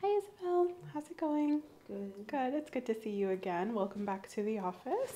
Hey Isabel, how's it going? Good. Good, it's good to see you again. Welcome back to the office.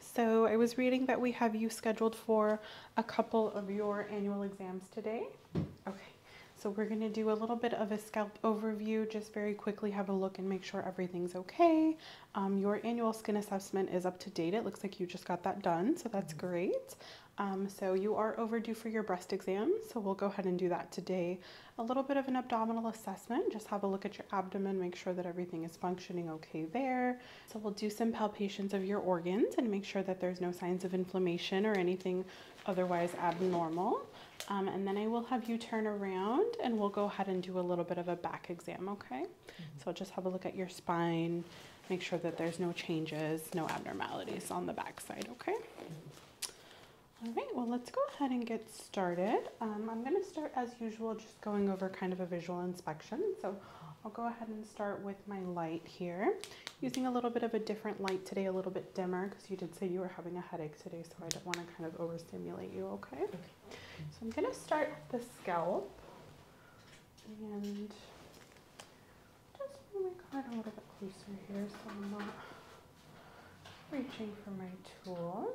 So I was reading that we have you scheduled for a couple of your annual exams today. Okay, so we're gonna do a little bit of a scalp overview, just very quickly have a look and make sure everything's okay. Um, your annual skin assessment is up to date. It looks like you just got that done, so that's mm-hmm. great. Um, so you are overdue for your breast exam, so we'll go ahead and do that today. A little bit of an abdominal assessment, just have a look at your abdomen, make sure that everything is functioning okay there. So we'll do some palpations of your organs and make sure that there's no signs of inflammation or anything otherwise abnormal. Um, and then I will have you turn around and we'll go ahead and do a little bit of a back exam, okay? Mm-hmm. So just have a look at your spine, Make sure that there's no changes, no abnormalities on the backside, okay? All right, well, let's go ahead and get started. Um, I'm gonna start as usual, just going over kind of a visual inspection. So I'll go ahead and start with my light here. Using a little bit of a different light today, a little bit dimmer, because you did say you were having a headache today, so I don't wanna kind of overstimulate you, okay? So I'm gonna start with the scalp and just move my card a little bit closer here so I'm not reaching for my tools.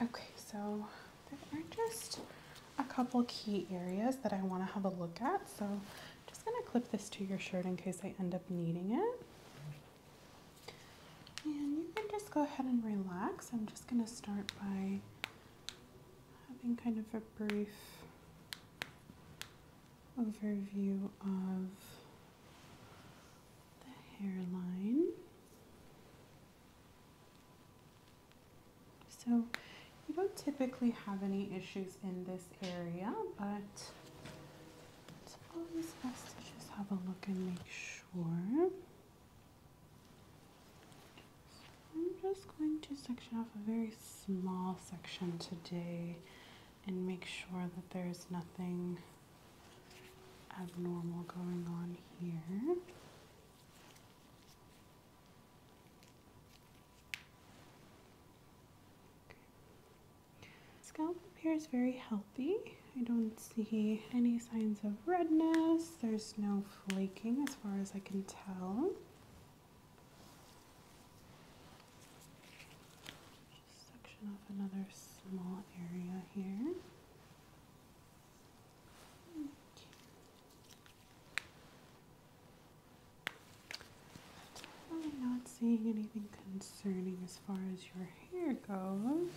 Okay, so there are just a couple key areas that I want to have a look at. So I'm just going to clip this to your shirt in case I end up needing it. And you can just go ahead and relax. I'm just going to start by having kind of a brief overview of the hairline. So you don't typically have any issues in this area, but it's always best to just have a look and make sure. I'm just going to section off a very small section today and make sure that there's nothing abnormal going on here. scalp appears very healthy. I don't see any signs of redness. There's no flaking as far as I can tell. Just section off another small area here. I'm not seeing anything concerning as far as your hair goes.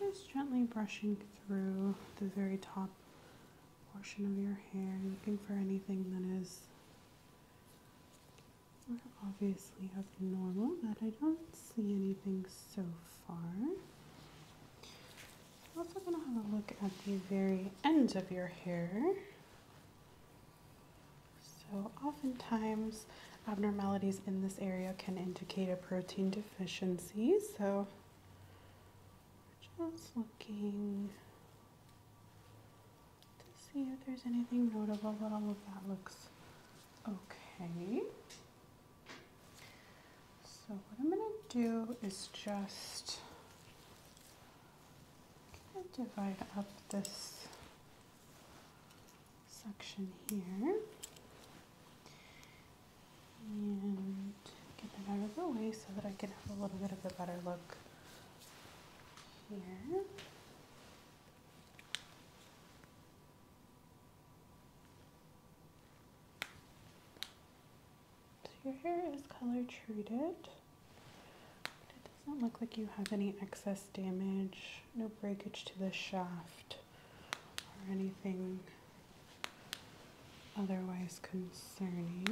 It's just gently brushing through the very top portion of your hair, looking for anything that is obviously abnormal, but I don't see anything so far. We're also going to have a look at the very end of your hair. So oftentimes abnormalities in this area can indicate a protein deficiency. So we're just looking to see if there's anything notable, but all of that looks Okay. So what I'm going to do is just divide up this section here and get that out of the way so that I can have a little bit of a better look here. So your hair is color treated. it doesn't look like you have any excess damage, no breakage to the shaft, or anything otherwise concerning.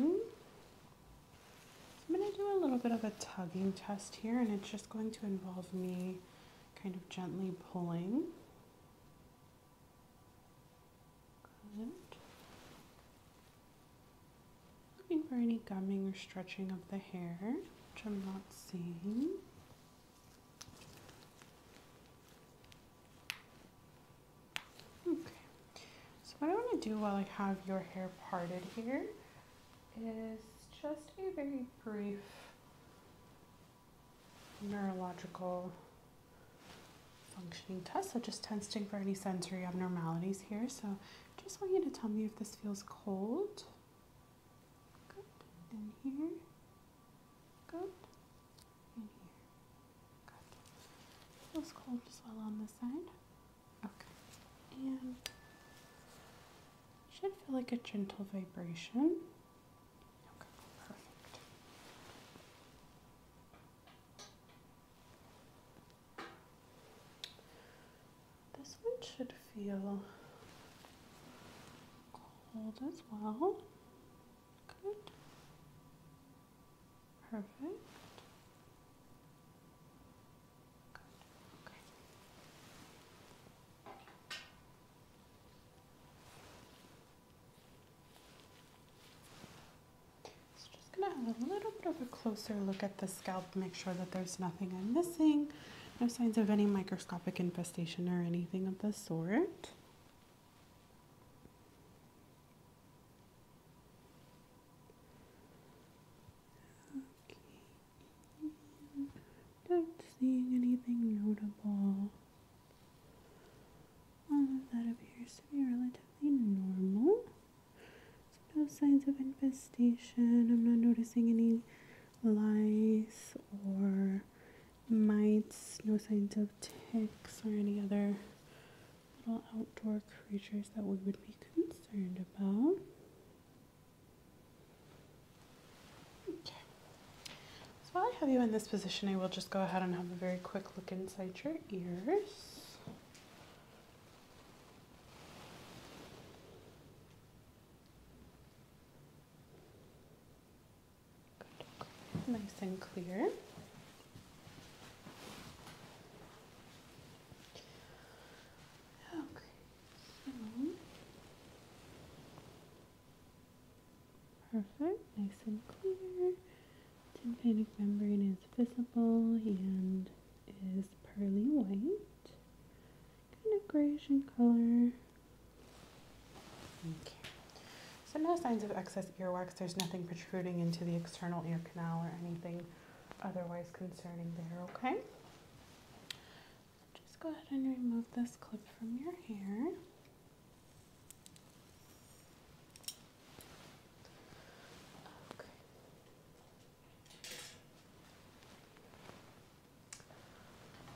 I'm going to do a little bit of a tugging test here, and it's just going to involve me kind of gently pulling. Looking for any gumming or stretching of the hair, which I'm not seeing. Okay, so what I want to do while I have your hair parted here is just a very brief neurological functioning test. So just testing for any sensory abnormalities here. So just want you to tell me if this feels cold. Good. In here. Good. In here. Good. Feels cold as well on this side. Okay. And should feel like a gentle vibration. This one should feel cold as well. Good. Perfect. Good. Okay. So just gonna have a little bit of a closer look at the scalp, make sure that there's nothing I'm missing, no signs of any microscopic infestation or anything of the sort. Okay. Not seeing anything notable. All of that appears to be relatively normal. no signs of infestation. I'm not noticing any lice or mites, no signs of ticks or any other little outdoor creatures that we would be concerned about. So while I have you in this position, I will just go ahead and have a very quick look inside your ears. Nice and clear. Okay, Perfect, nice and clear. Tympanic membrane is visible and is pearly white, kind of grayish in color. Okay. So no signs of excess earwax. There's nothing protruding into the external ear canal or anything otherwise concerning there, okay? Just go ahead and remove this clip from your hair. Okay.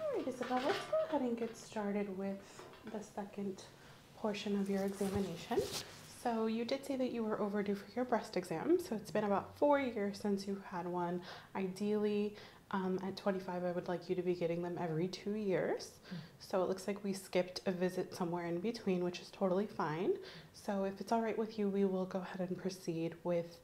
Alright, Isabel, let's go ahead and get started with the second portion of your examination. So you did say that you were overdue for your breast exam. So it's been about four years since you had one. Ideally, um, at 25, I would like you to be getting them every two years. Mm. So it looks like we skipped a visit somewhere in between, which is totally fine. So if it's all right with you, we will go ahead and proceed with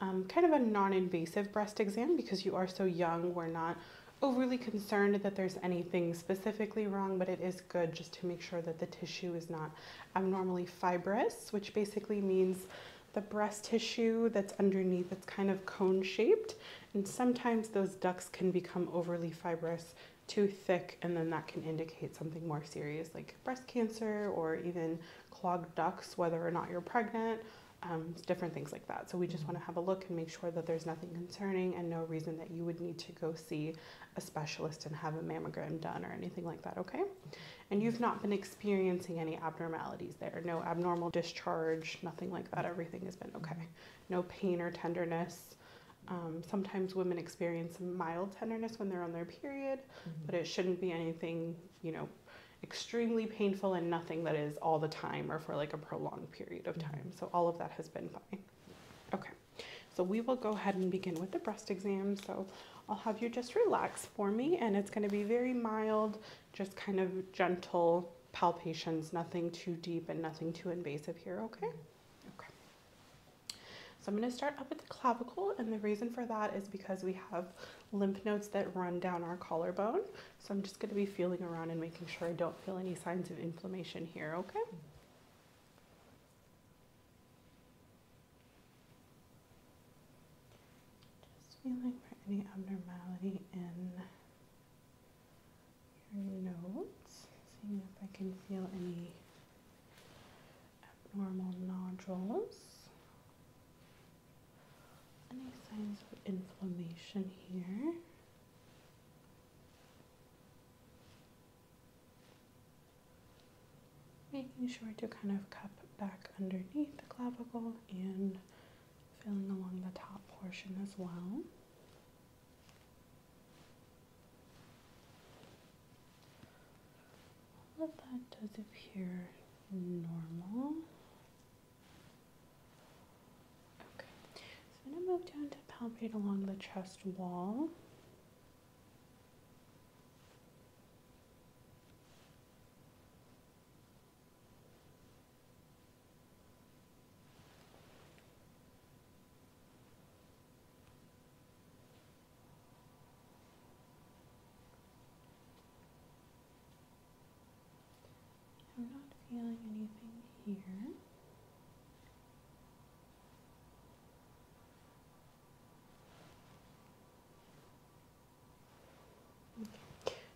um, kind of a non-invasive breast exam because you are so young. We're not overly concerned that there's anything specifically wrong, but it is good just to make sure that the tissue is not abnormally fibrous, which basically means the breast tissue that's underneath. It's kind of cone shaped, and sometimes those ducts can become overly fibrous, too thick, and then that can indicate something more serious like breast cancer or even clogged ducts, whether or not you're pregnant. Um, different things like that. So we just mm-hmm. want to have a look and make sure that there's nothing concerning and no reason that you would need to go see a specialist and have a mammogram done or anything like that, okay? and you've not been experiencing any abnormalities there. No abnormal discharge, nothing like that. Everything has been okay. No pain or tenderness. Um, sometimes women experience mild tenderness when they're on their period, mm-hmm. but it shouldn't be anything, you know, extremely painful and nothing that is all the time or for like a prolonged period of mm-hmm. time. So all of that has been fine. Okay, so we will go ahead and begin with the breast exam. So I'll have you just relax for me, and it's going to be very mild just kind of gentle palpations, nothing too deep and nothing too invasive here, okay? Okay. So I'm going to start up at the clavicle, and the reason for that is because we have lymph nodes that run down our collarbone. So I'm just going to be feeling around and making sure I don't feel any signs of inflammation here, okay? Just feeling for any abnormality in your nodes, seeing if I can feel any abnormal nodules, any signs of inflammation here. Making sure to kind of cup back underneath the clavicle and and along the top portion as well. that does appear normal. Okay, so I'm going to move down to palpate along the chest wall. I'm not feeling anything here.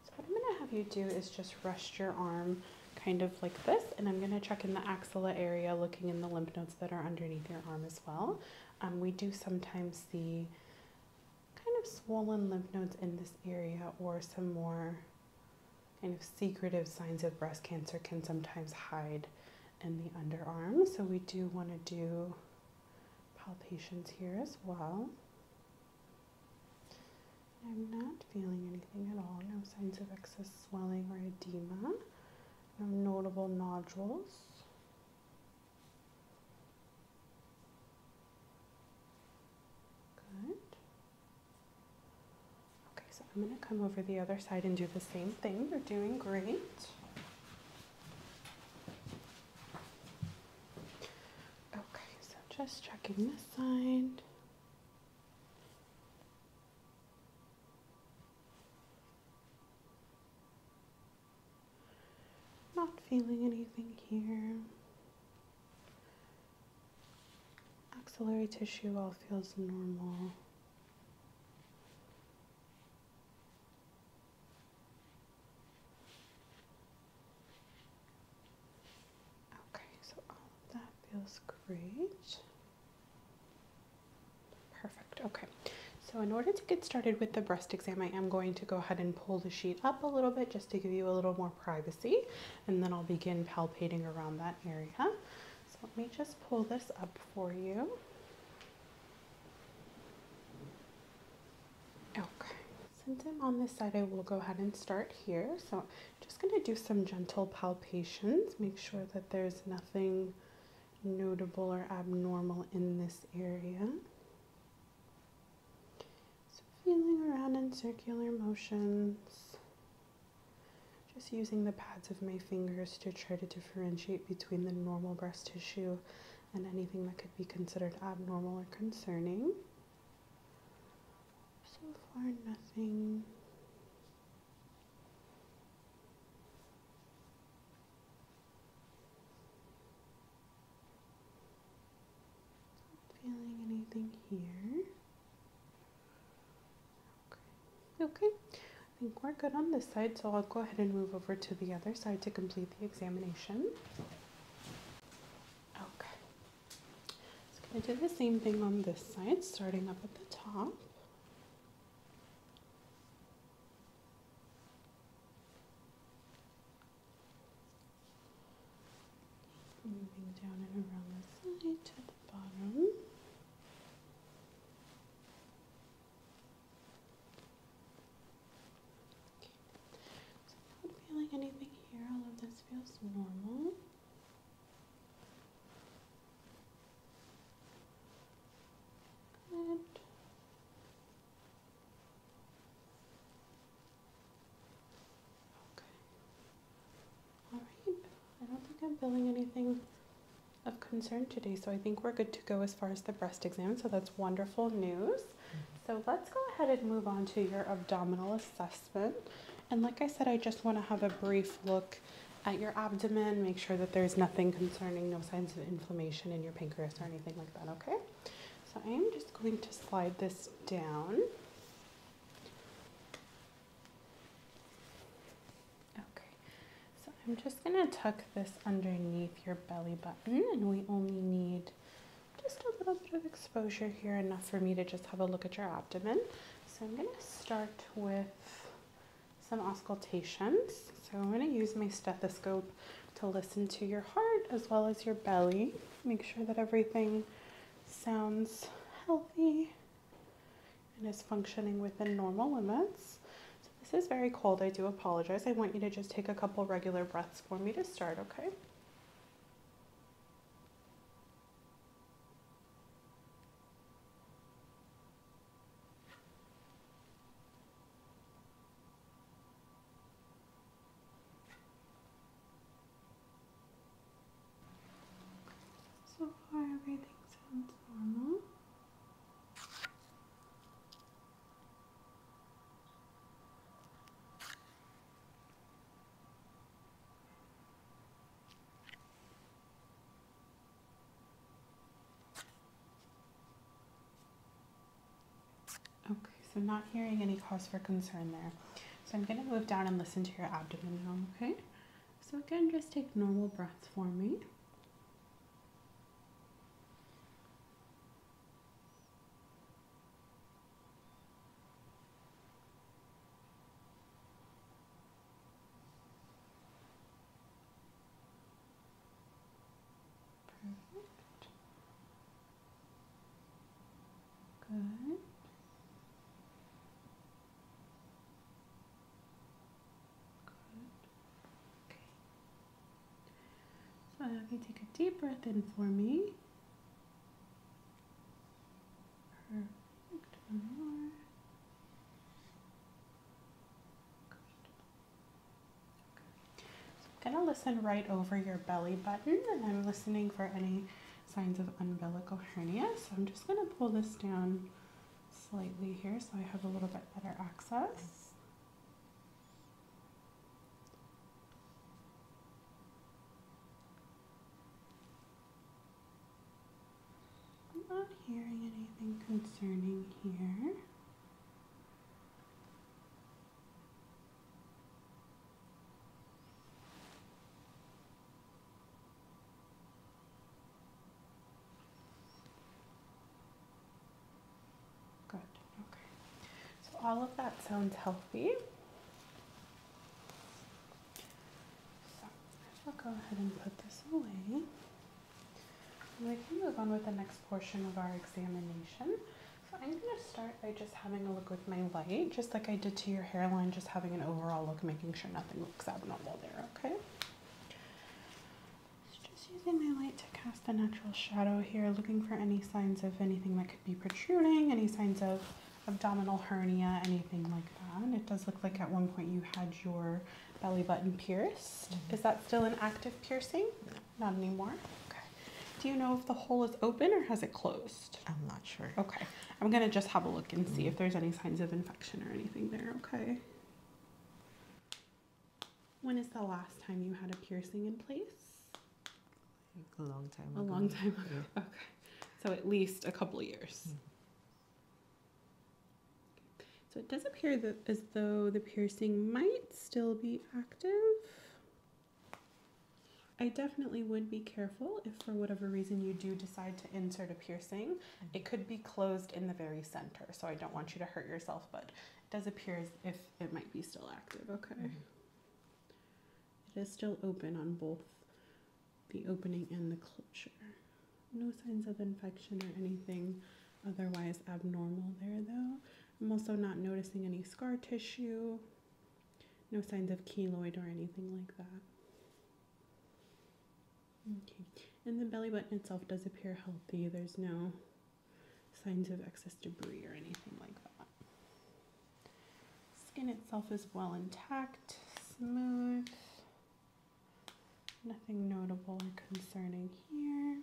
So what I'm going to have you do is just rest your arm kind of like this, and I'm going to check in the axilla area, looking in the lymph nodes that are underneath your arm as well. Um, we do sometimes see kind of swollen lymph nodes in this area, or some more kind of secretive signs of breast cancer can sometimes hide in the underarm. So we do want to do palpations here as well. I'm not feeling anything at all, no signs of excess swelling or edema, no notable nodules. Good. Okay, so I'm going to come over the other side and do the same thing. You're doing great. Okay, so just checking this side. Not feeling anything here. Axillary tissue all feels normal. Okay, so all of that feels great. Perfect. Okay, so in order to get started with the breast exam, I am going to go ahead and pull the sheet up a little bit just to give you a little more privacy, and then I'll begin palpating around that area. So let me just pull this up for you. Okay, since I'm on this side, I will go ahead and start here. So just going to do some gentle palpations, make sure that there's nothing notable or abnormal in this area. So feeling around in circular motions. Just using the pads of my fingers to try to differentiate between the normal breast tissue and anything that could be considered abnormal or concerning. So far, nothing. Not feeling anything here. Okay. Okay. I think we're good on this side, so I'll go ahead and move over to the other side to complete the examination. Okay. Just going to do the same thing on this side, starting up at the top. Moving down and around the side to the bottom. Okay. So not feeling anything here, all this feels normal. Good. Okay. All right. I don't think I'm feeling anything of concern today, so I think we're good to go as far as the breast exam. So that's wonderful news. So let's go ahead and move on to your abdominal assessment. And like I said, I just want to have a brief look at your abdomen, make sure that there's nothing concerning, no signs of inflammation in your pancreas or anything like that, okay? So I am just going to slide this down. Okay, so I'm just going to tuck this underneath your belly button, and we only need just a little bit of exposure here, enough for me to just have a look at your abdomen. So I'm going to start with some auscultations. So I'm going to use my stethoscope to listen to your heart as well as your belly. Make sure that everything sounds healthy and is functioning within normal limits this is very cold. I do apologize. I want you to just take a couple regular breaths for me to start, okay? So far, everything sounds normal. Okay, so not hearing any cause for concern there. So I'm going to move down and listen to your abdomen now, okay? So again, just take normal breaths for me. Perfect. Good. Good. Okay. So now if you take a deep breath in for me. One more. I'm going to listen right over your belly button and I'm listening for any signs of umbilical hernia. So I'm just going to pull this down slightly here so I have a little bit better access. I'm not hearing anything concerning here. Good, okay. So all of that sounds healthy. So I shall go ahead and put this away. we can move on with the next portion of our examination. So I'm going to start by just having a look with my light, just like I did to your hairline, just having an overall look, making sure nothing looks abnormal there, okay? Just using my light to cast a natural shadow here, looking for any signs of anything that could be protruding, any signs of abdominal hernia, anything like that. it does look like at one point you had your belly button pierced. Mm-hmm. Is that still an active piercing? Not anymore. Okay. Do you know if the hole is open or has it closed? I'm not sure. Okay. I'm going to just have a look and see mm-hmm. if there's any signs of infection or anything there. Okay. When is the last time you had a piercing in place? a long time ago. A long time ago. Okay. So at least a couple years. Mm. So it does appear that as though the piercing might still be active. I definitely would be careful if for whatever reason you do decide to insert a piercing. Mm. It could be closed in the very center, so I don't want you to hurt yourself, but it does appear as if it might be still active. Okay. Mm-hmm. is still open on both the opening and the closure. No signs of infection or anything otherwise abnormal there, though. I'm also not noticing any scar tissue, no signs of keloid or anything like that. Okay, and the belly button itself does appear healthy. There's no signs of excess debris or anything like that. Skin itself is well intact, smooth, nothing notable or concerning here.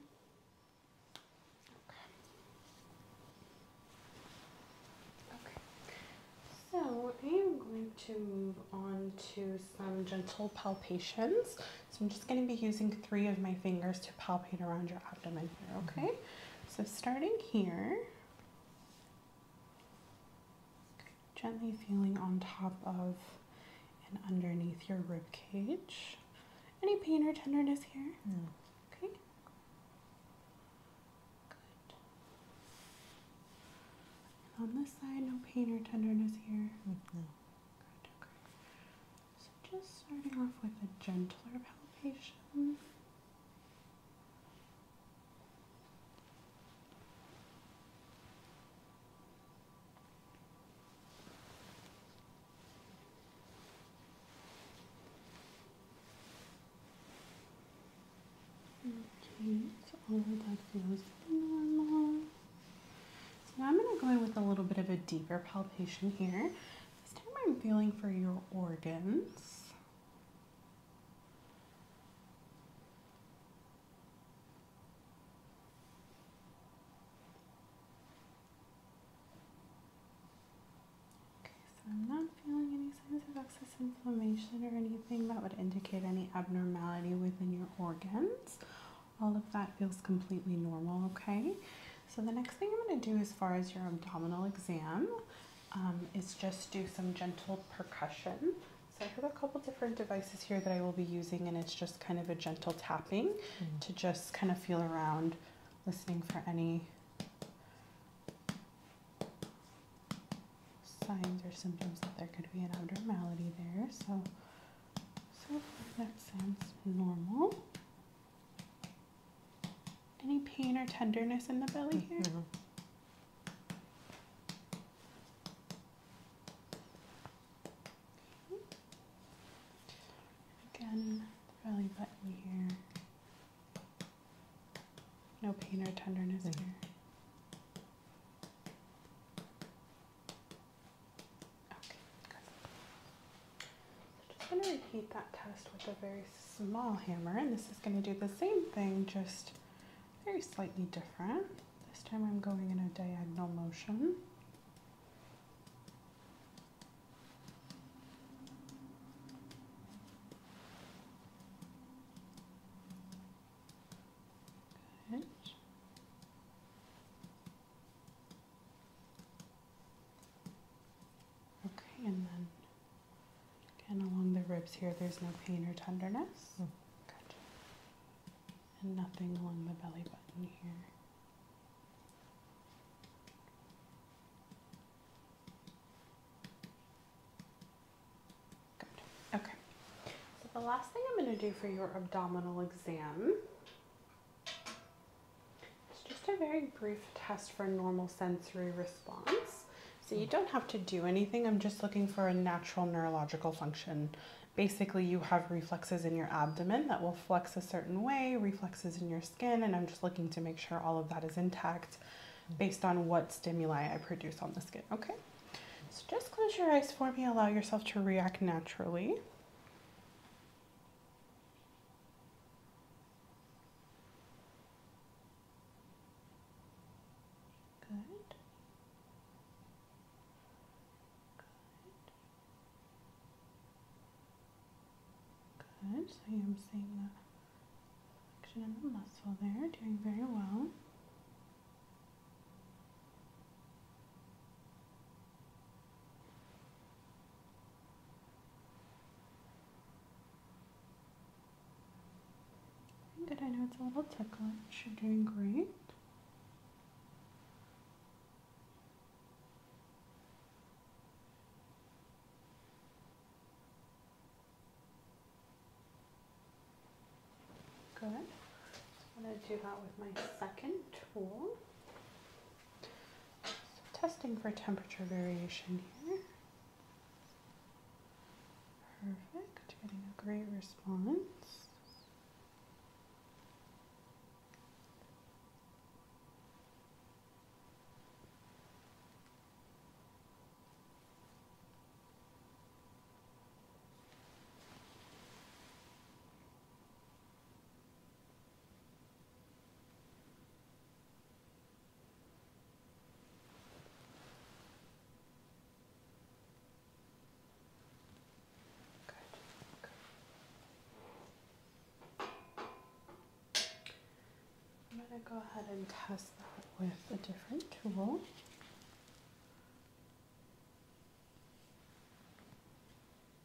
Okay. Okay. So I am going to move on to some gentle palpations. So I'm just going to be using three of my fingers to palpate around your abdomen here, mm-hmm. okay? So starting here, gently feeling on top of and underneath your rib cage. Any pain or tenderness here? No. Okay. Good. on this side, no pain or tenderness here? No. Mm-hmm. Good, okay. So just starting off with a gentler palpation. Okay, so all of that feels normal. So I'm going to go in with a little bit of a deeper palpation here. This time I'm feeling for your organs. Okay, so I'm not feeling any signs of excess inflammation or anything that would indicate any abnormality within your organs all of that feels completely normal, okay? So, the next thing I'm going to do as far as your abdominal exam um, is just do some gentle percussion. So, I have a couple different devices here that I will be using, and it's just kind of a gentle tapping mm. to just kind of feel around, listening for any signs or symptoms that there could be an abnormality there. So, so that sounds normal. Any pain or tenderness in the belly here? No. Mm-hmm. Again, belly button here. No pain or tenderness mm-hmm. here. Okay, good. just going to repeat that test with a very small hammer, and this is going to do the same thing, just very slightly different. This time I'm going in a diagonal motion. Good. Okay, and then again along the ribs here, there's no pain or tenderness. Hmm. And nothing along the belly button here. Okay. So the last thing I'm going to do for your abdominal exam it's just a very brief test for normal sensory response. So you don't have to do anything. I'm just looking for a natural neurological function. Basically, you have reflexes in your abdomen that will flex a certain way, reflexes in your skin, and I'm just looking to make sure all of that is intact based on what stimuli I produce on the skin, okay? So just close your eyes for me, allow yourself to react naturally. Good. Good. Good. So I'm seeing the action of the muscle there, doing very well. Good, I know it's a little ticklish. You're doing great. Good. So i do that with my second tool testing for temperature variation here. Perfect, getting a great response. I'm going to go ahead and test that with a different tool.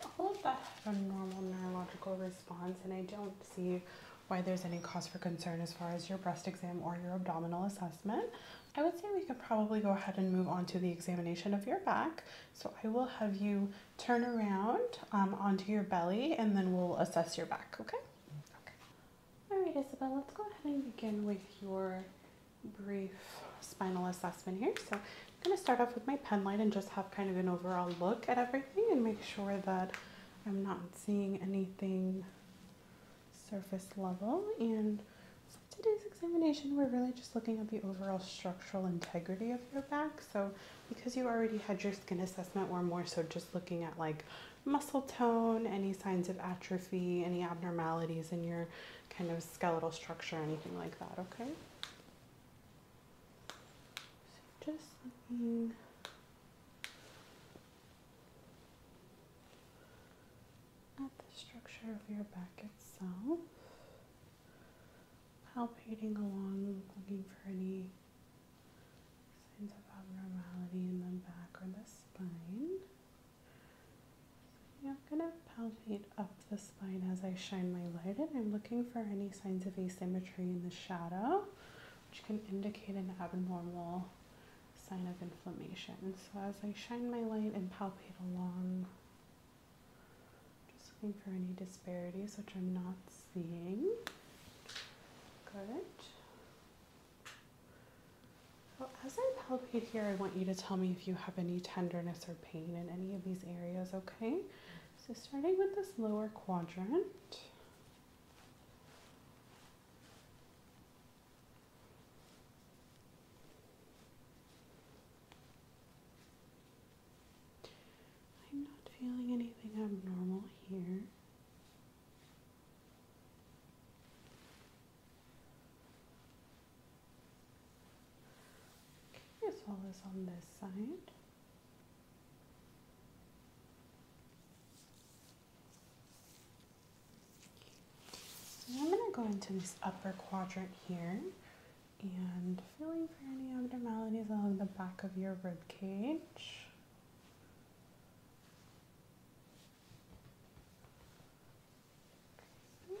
So all of that had a normal neurological response, and I don't see why there's any cause for concern as far as your breast exam or your abdominal assessment. I would say we could probably go ahead and move on to the examination of your back. So I will have you turn around um, onto your belly and then we'll assess your back, okay? Okay. All right, Isabel, let's go ahead and begin with your brief spinal assessment here. So I'm gonna start off with my penlight and just have kind of an overall look at everything and make sure that I'm not seeing anything surface level. And for today's examination, we're really just looking at the overall structural integrity of your back. So because you already had your skin assessment, we're more so just looking at like muscle tone, any signs of atrophy, any abnormalities in your kind of skeletal structure, anything like that, okay? just looking at the structure of your back itself, palpating along, looking for any signs of abnormality in the back or the spine. I'm going to palpate up the spine as I shine my light in. I'm looking for any signs of asymmetry in the shadow, which can indicate an abnormal sign of inflammation. So as I shine my light and palpate along, just looking for any disparities which I'm not seeing. Good. So as I palpate here, I want you to tell me if you have any tenderness or pain in any of these areas, okay? So starting with this lower quadrant. I'm not feeling anything abnormal here. Okay, as well as on this side. I'm going to go into this upper quadrant here and feeling for any abnormalities along the back of your rib cage. As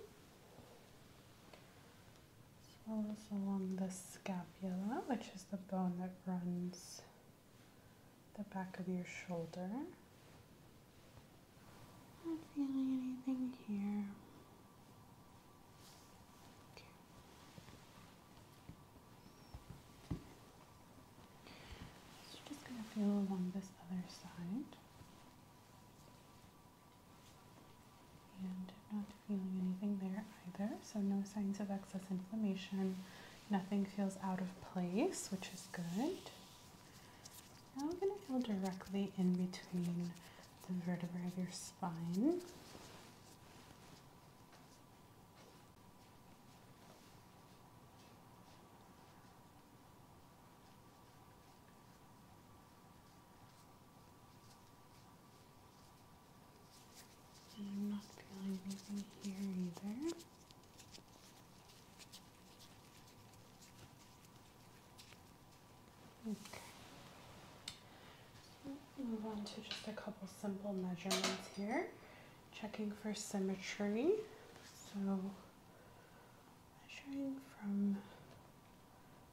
well as along the scapula, which is the bone that runs the back of your shoulder. Not feeling anything here. Okay. So just going to feel along this other side. And not feeling anything there either, so no signs of excess inflammation. Nothing feels out of place, which is good. Now I'm going to go directly in between the vertebrae of your spine. And I'm not feeling anything here either. Okay. move on to just a couple simple measurements here. Checking for symmetry. So measuring from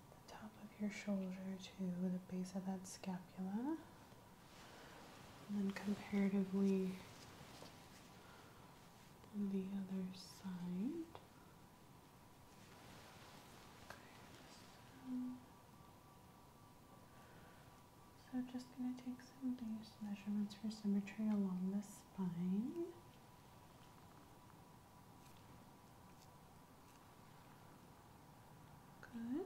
the top of your shoulder to the base of that scapula and then comparatively the other side. Okay, so, so just going to take some base measurements for symmetry along the spine. Good.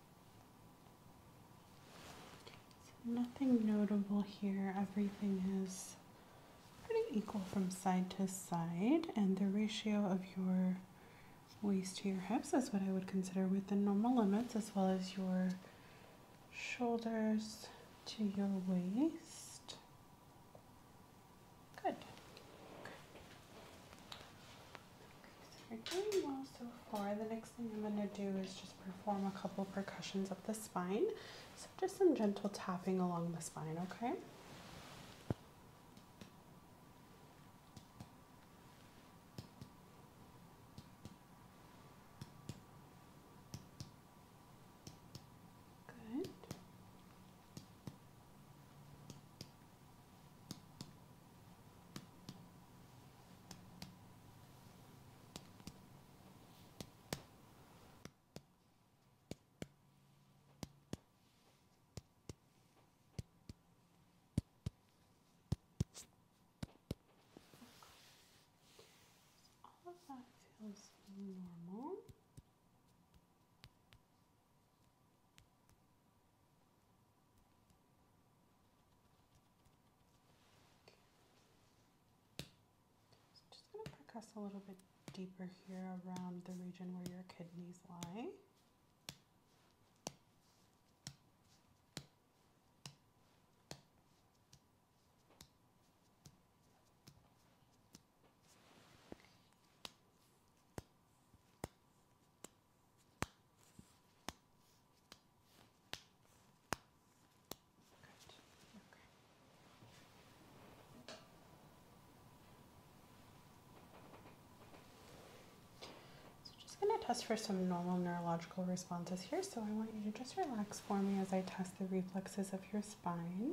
Nothing notable here. Everything is pretty equal from side to side, and the ratio of your waist to your hips is what I would consider within normal limits, as well as your shoulders to your waist. Good. Okay, so you're doing well so far. The next thing I'm going to do is just perform a couple percussions up the spine. So just some gentle tapping along the spine, okay? Good. All of that feels normal. I'm just going to press a little bit deeper here around the region where your kidneys lie. Good. Okay. So just going to test for some normal neurological responses here. So I want you to just relax for me as I test the reflexes of your spine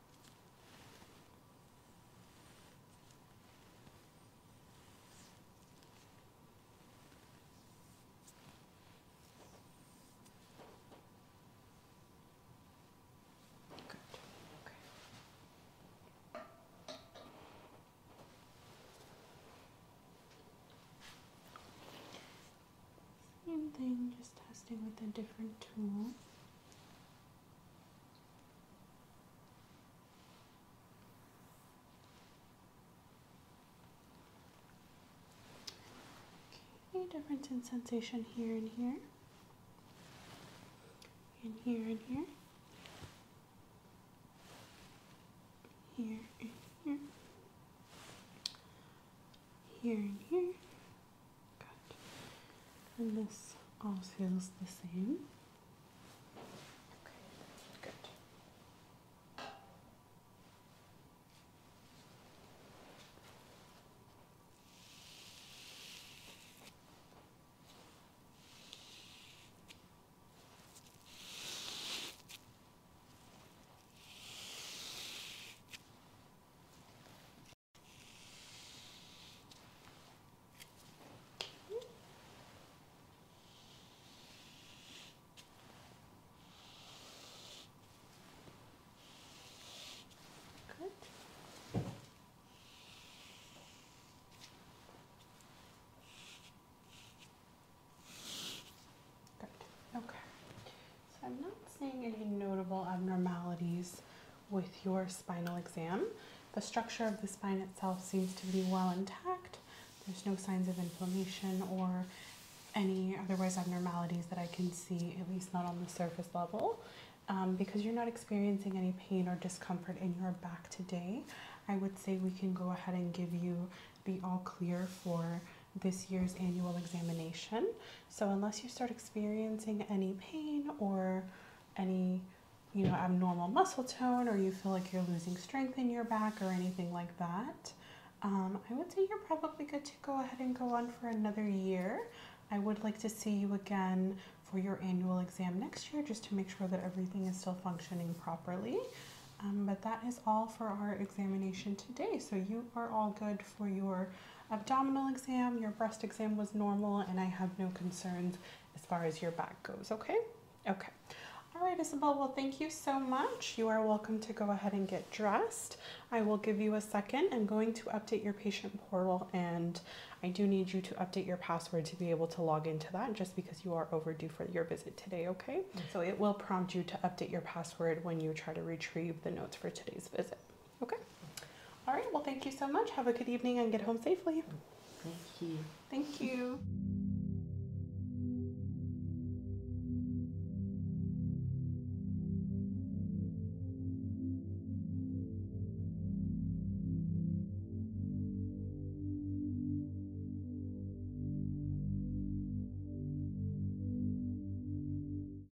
Good. Okay. Same thing, just testing with a different tool. Okay, difference in sensation here and here, and here and here, here and here, here and here, and this all feels the same. Okay, good. Good. Good. Okay. So I'm not seeing any notable abnormalities with your spinal exam. The structure of the spine itself seems to be well intact. There's no signs of inflammation or any otherwise abnormalities that I can see, at least not on the surface level. Um, because you're not experiencing any pain or discomfort in your back today, I would say we can go ahead and give you the all clear for this year's annual examination. So unless you start experiencing any pain or any you know abnormal muscle tone or you feel like you're losing strength in your back or anything like that, um, I would say you're probably good to go ahead and go on for another year. I would like to see you again for your annual exam next year just to make sure that everything is still functioning properly. Um, but that is all for our examination today. So you are all good for your abdominal exam, your breast exam was normal, and I have no concerns as far as your back goes, okay? Okay. All right, Isabel, well, thank you so much. You are welcome to go ahead and get dressed. I will give you a second. I'm going to update your patient portal, and I do need you to update your password to be able to log into that just because you are overdue for your visit today, okay? So it will prompt you to update your password when you try to retrieve the notes for today's visit. Okay. All right. Well, thank you so much. Have a good evening and get home safely. Thank you. Thank you.